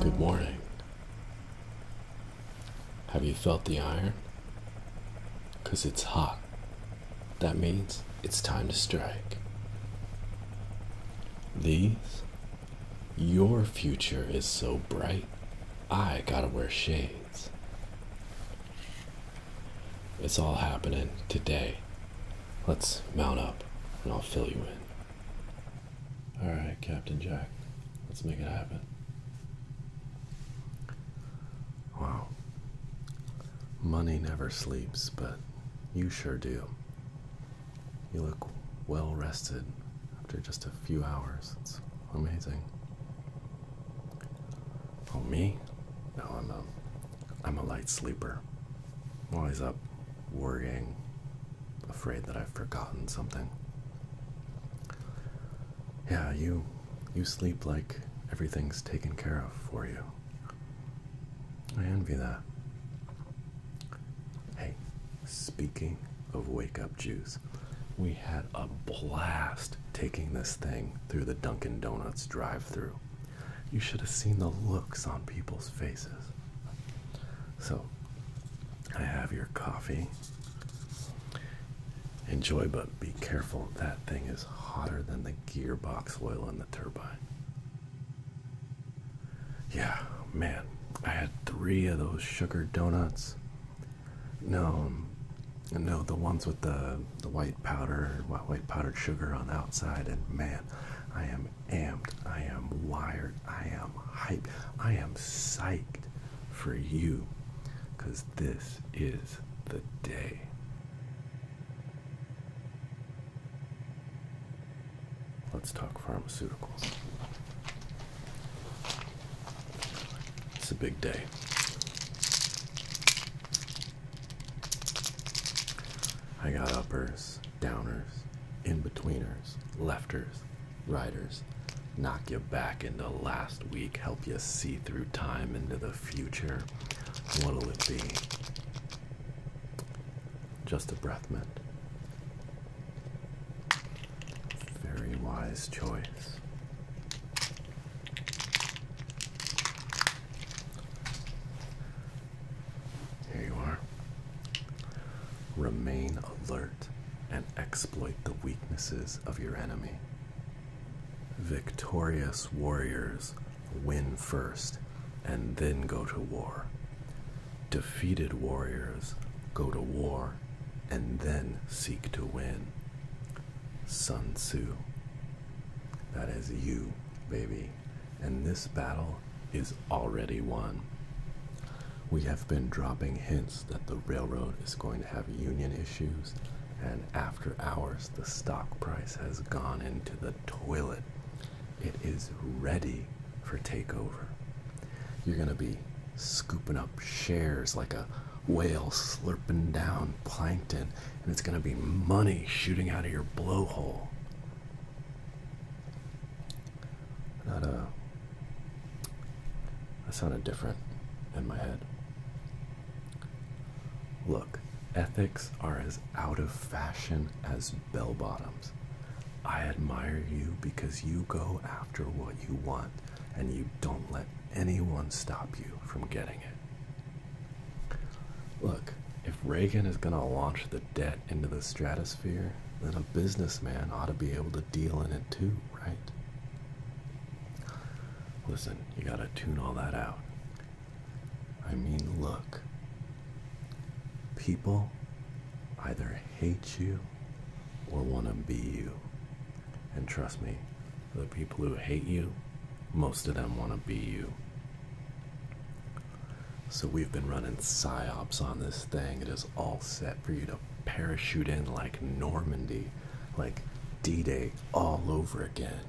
Good morning. Have you felt the iron? Because it's hot. That means it's time to strike. These? Your future is so bright, I gotta wear shades. It's all happening today. Let's mount up and I'll fill you in. All right, Captain Jack, let's make it happen. Wow. Money never sleeps, but you sure do. You look well rested after just a few hours. It's amazing. Oh, me? No, I'm a, I'm a light sleeper. i always up worrying, afraid that I've forgotten something. Yeah, you you sleep like everything's taken care of for you. I envy that. Hey, speaking of wake up juice, we had a blast taking this thing through the Dunkin' Donuts drive through. You should have seen the looks on people's faces. So I have your coffee. Enjoy, but be careful. That thing is hotter than the gearbox oil in the turbine. Yeah, man, I had three of those sugar donuts. No, no, the ones with the the white powder, white powdered sugar on the outside, and man, I am am I am wired. I am hyped. I am psyched for you because this is the day. Let's talk pharmaceuticals. It's a big day. I got uppers downers, in-betweeners, lefters, riders. Knock you back into last week, help you see through time into the future. What'll it be? Just a breath mint. Very wise choice. Here you are. Remain alert and exploit the weaknesses of your enemy. Victorious warriors win first and then go to war. Defeated warriors go to war and then seek to win. Sun Tzu. That is you, baby and this battle is already won. We have been dropping hints that the railroad is going to have union issues, and after hours, the stock price has gone into the toilet. It is ready for takeover. You're going to be scooping up shares like a whale slurping down plankton, and it's going to be money shooting out of your blowhole. Not a. Uh, that sounded different in my head. Look, ethics are as out of fashion as bell bottoms. I admire you because you go after what you want and you don't let anyone stop you from getting it. Look, if Reagan is going to launch the debt into the stratosphere, then a businessman ought to be able to deal in it too, right? Listen, you gotta tune all that out. I mean, look. People either hate you or want to be you. And trust me, the people who hate you, most of them want to be you. So we've been running psyops on this thing. It is all set for you to parachute in like Normandy, like D Day all over again,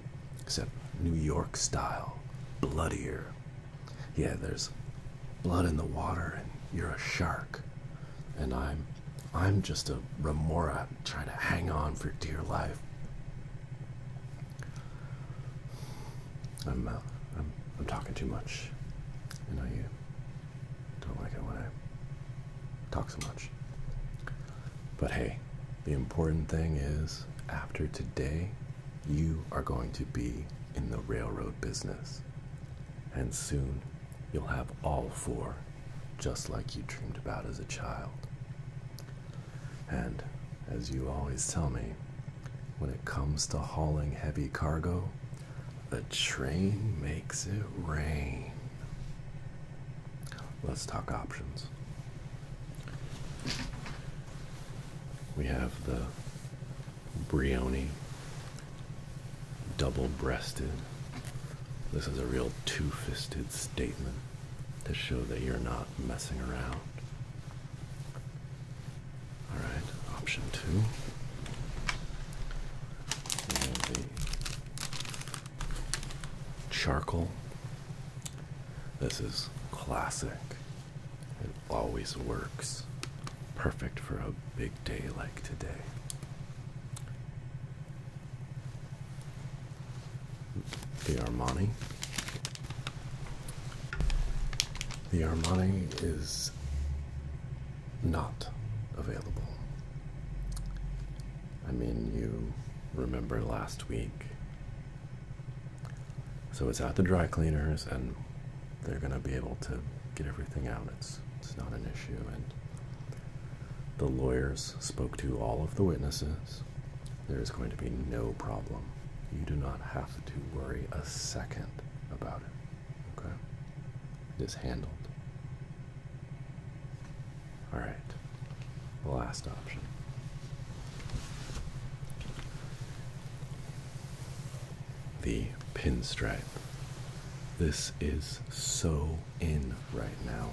except New York style, bloodier. Yeah, there's blood in the water, and you're a shark. And I'm I'm just a remora trying to hang on for dear life. I'm, uh, I'm, talking too much. I know you don't like it when I talk so much. But hey, the important thing is after today, you are going to be in the railroad business. And soon, you'll have all four, just like you dreamed about as a child. And as you always tell me, when it comes to hauling heavy cargo, the train makes it rain. Let's talk options. We have the Brioni double breasted. This is a real two fisted statement to show that you're not messing around. All right, option two. charcoal. This is classic. It always works. Perfect for a big day like today. The Armani. The Armani is not available. I mean, you remember last week. So it's at the dry cleaners, and they're going to be able to get everything out. It's, it's not an issue. And the lawyers spoke to all of the witnesses. There is going to be no problem. You do not have to worry a second about it. Okay. It is handled. Alright. The last option. The pinstripe. This is so in right now.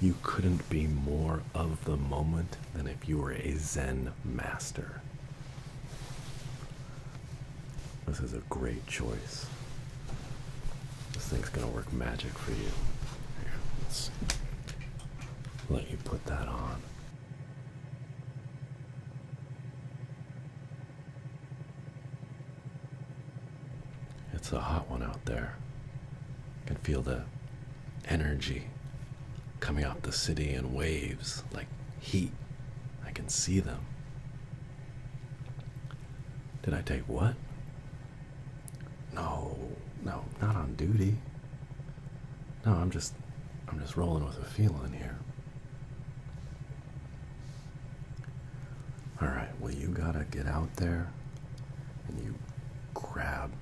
You couldn't be more of the moment than if you were a Zen master. This is a great choice. This thing's gonna work magic for you. let you put that on. It's a hot one out there. I can feel the energy coming off the city in waves like heat. I can see them. Did I take what? No, no, not on duty. No, I'm just I'm just rolling with a feeling here. Alright, well you gotta get out there and you grab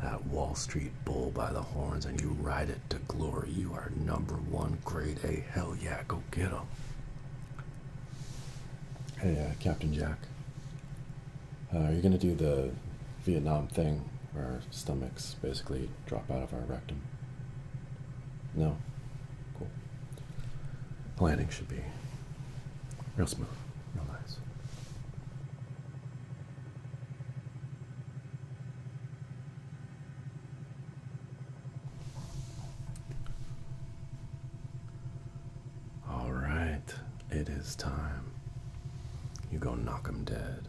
that Wall Street bull by the horns and you ride it to glory. You are number one, grade A. Hell yeah, go get him. Hey, uh, Captain Jack. Uh, are you going to do the Vietnam thing where our stomachs basically drop out of our rectum? No? Cool. Planning should be real smooth, real nice. All right, it is time. You go knock 'em dead.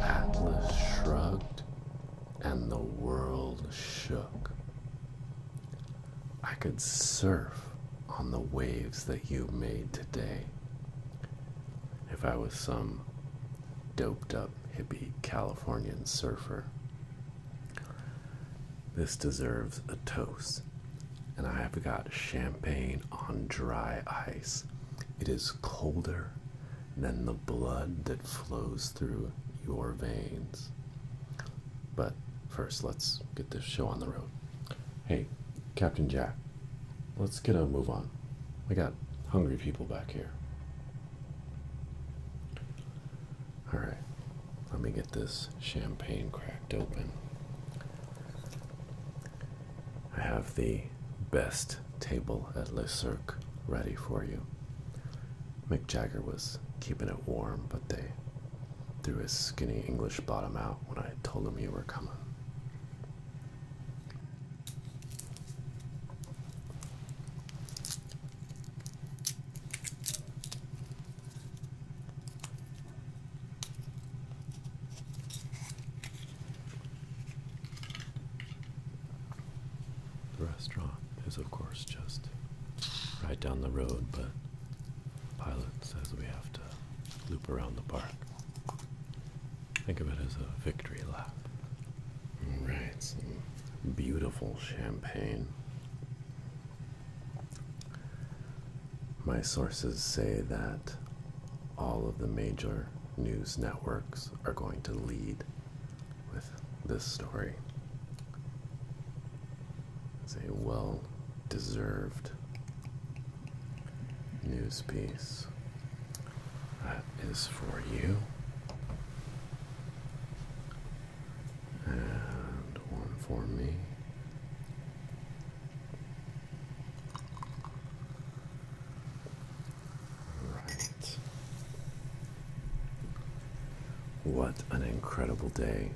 Atlas shrugged and the world shook. I could surf on the waves that you made today. If I was some doped up hippie Californian surfer, this deserves a toast and I've got champagne on dry ice. It is colder than the blood that flows through your veins. But first, let's get this show on the road. Hey, Captain Jack, let's get a move on. We got hungry people back here. Alright, let me get this champagne cracked open. I have the best table at Le Cirque ready for you. Mick Jagger was keeping it warm, but they threw his skinny English bottom out when I told him you were coming. The restaurant is, of course, just right down the road, but Pilot says we have to loop around the park. Think of it as a victory lap. Alright, some beautiful champagne. My sources say that all of the major news networks are going to lead with this story. It's a well deserved news piece. That is for you. And one for me. Right. What an incredible day.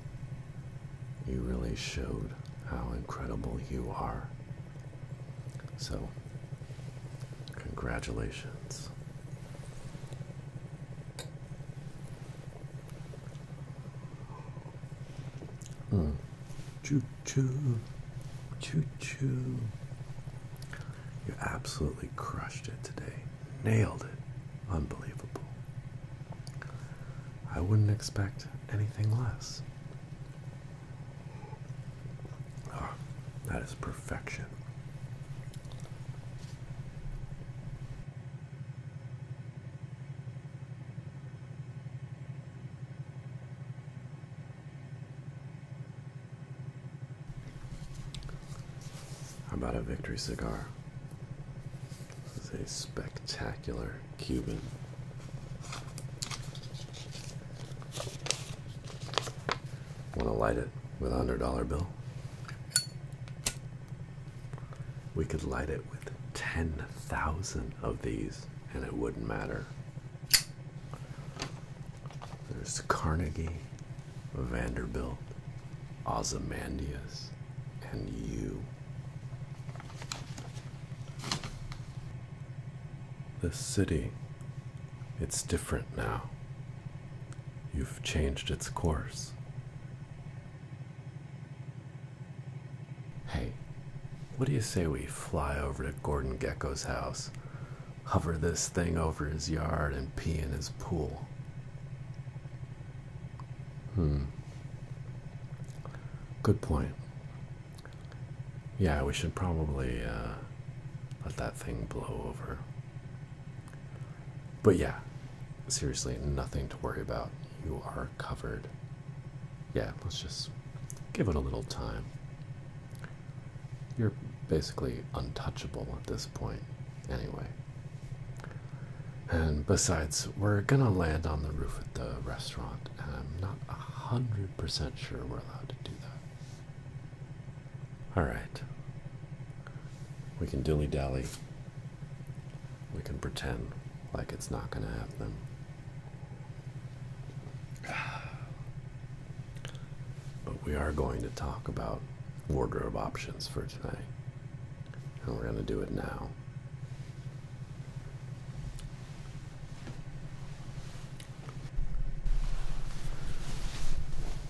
You really showed how incredible you are. So, congratulations. Choo choo, choo choo. You absolutely crushed it today. Nailed it. Unbelievable. I wouldn't expect anything less. Oh, that is perfection. How about a victory cigar? This is a spectacular Cuban. Want to light it with a hundred dollar bill? We could light it with 10,000 of these and it wouldn't matter. There's Carnegie, Vanderbilt, Ozymandias, and you. This city, it's different now. You've changed its course. Hey, what do you say we fly over to Gordon Gecko's house, hover this thing over his yard, and pee in his pool? Hmm. Good point. Yeah, we should probably uh, let that thing blow over. But yeah, seriously, nothing to worry about. You are covered yeah, let's just give it a little time. You're basically untouchable at this point, anyway. And besides, we're gonna land on the roof at the restaurant, and I'm not a hundred percent sure we're allowed to do that. Alright. We can dilly dally. We can pretend like it's not gonna happen. But we are going to talk about wardrobe options for today. And we're going to do it now.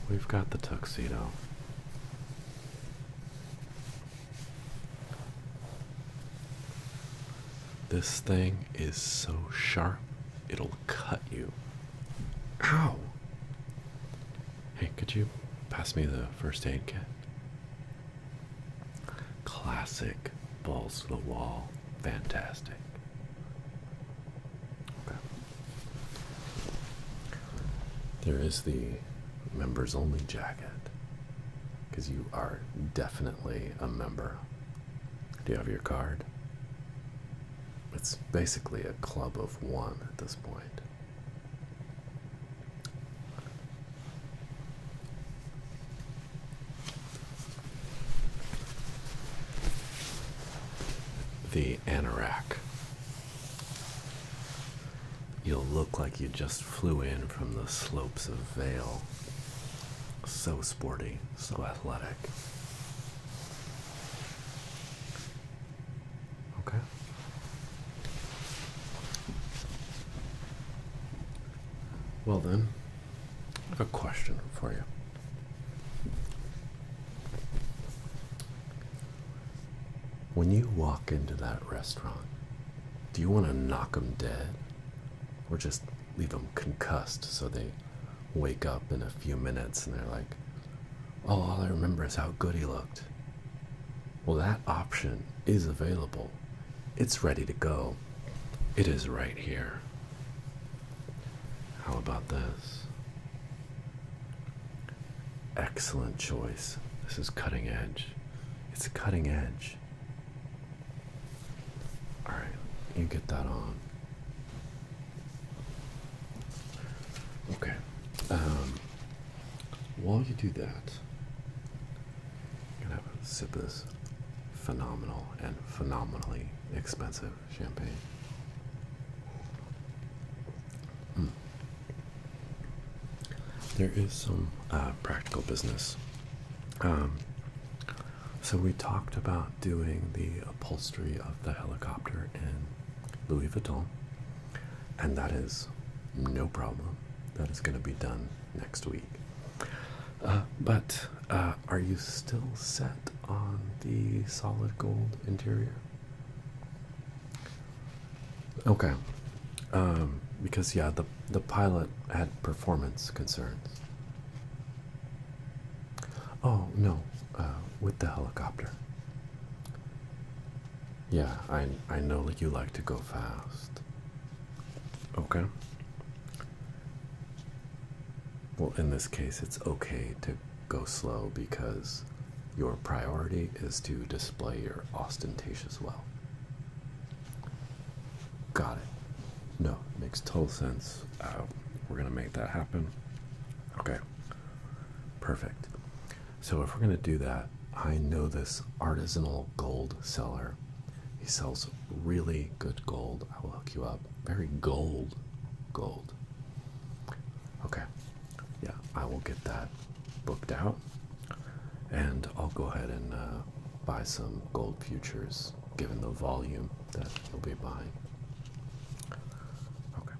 We've got the tuxedo. This thing is so sharp, it'll cut you. Ow! Hey, could you pass me the first aid kit? Classic balls to the wall. Fantastic. There is the members only jacket because you are definitely a member do you have your card? It's basically a club of one at this point. The anorak. You'll look like you just flew in from the slopes of Vale. So sporty. So athletic. Okay. Well, then, a question for you. When you walk into that restaurant, do you want to knock them dead or just leave them concussed so they wake up in a few minutes and they're like, oh, all I remember is how good he looked. Well, that option is available. It's ready to go. It is right here. How about this? Excellent choice. This is cutting edge. It's cutting edge. All right, you get that on. Okay. Um, while you do that, I'm gonna have a sip of this phenomenal and phenomenally expensive champagne. Hmm. There is some uh, practical business. Um, so we talked about doing the upholstery of the helicopter in Louis Vuitton, and that is no problem. That is going to be done next week. Uh, but uh, are you still set on the solid gold interior? Okay, um, because yeah, the the pilot had performance concerns. Oh no, uh, with the helicopter. Yeah, I I know that you like to go fast. Okay. Well, in this case, it's okay to go slow because your priority is to display your ostentatious wealth. Got it. No, makes total sense. Uh, we're gonna make that happen. Okay, perfect. So if we're gonna do that, I know this artisanal gold seller. He sells really good gold. I will hook you up. Very gold, gold. Okay, yeah, I will get that booked out, and I'll go ahead and uh, buy some gold futures given the volume that you'll be buying. Okay.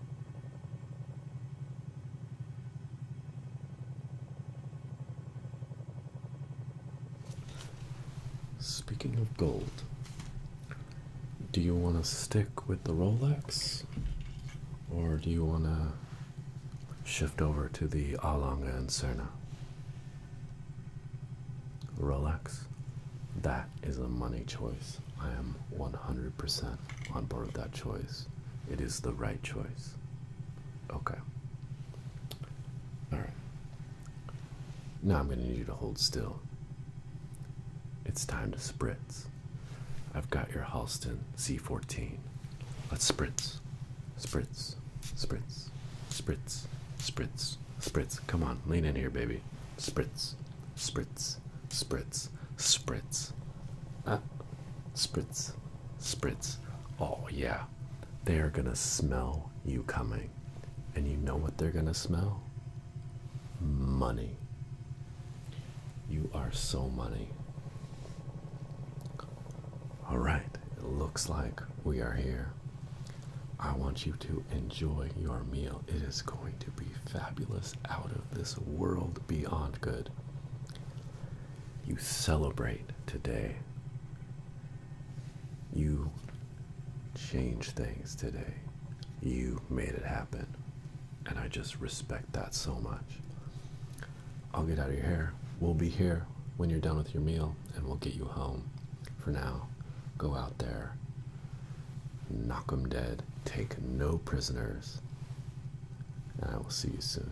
Speaking of gold, do you want to stick with the Rolex or do you want to shift over to the Alanga and Serna? Relax. that is a money choice. I am 100% on board with that choice. It is the right choice. Okay. Alright. Now I'm going to need you to hold still. It's time to spritz. I've got your Halston C14. Let's spritz. Spritz. Spritz. Spritz. Spritz. Spritz, come on, lean in here, baby. Spritz, spritz, spritz, spritz. Ah, spritz, spritz. Oh, yeah. They are gonna smell you coming. And you know what they're gonna smell? Money. You are so money. All right, it looks like we are here. I want you to enjoy your meal. It is going to be fabulous, out of this world, beyond good. You celebrate today. You change things today. You made it happen. And I just respect that so much. I'll get out of your hair. We'll be here when you're done with your meal and we'll get you home. For now, go out there Knock 'em dead. Take no prisoners. And I will see you soon.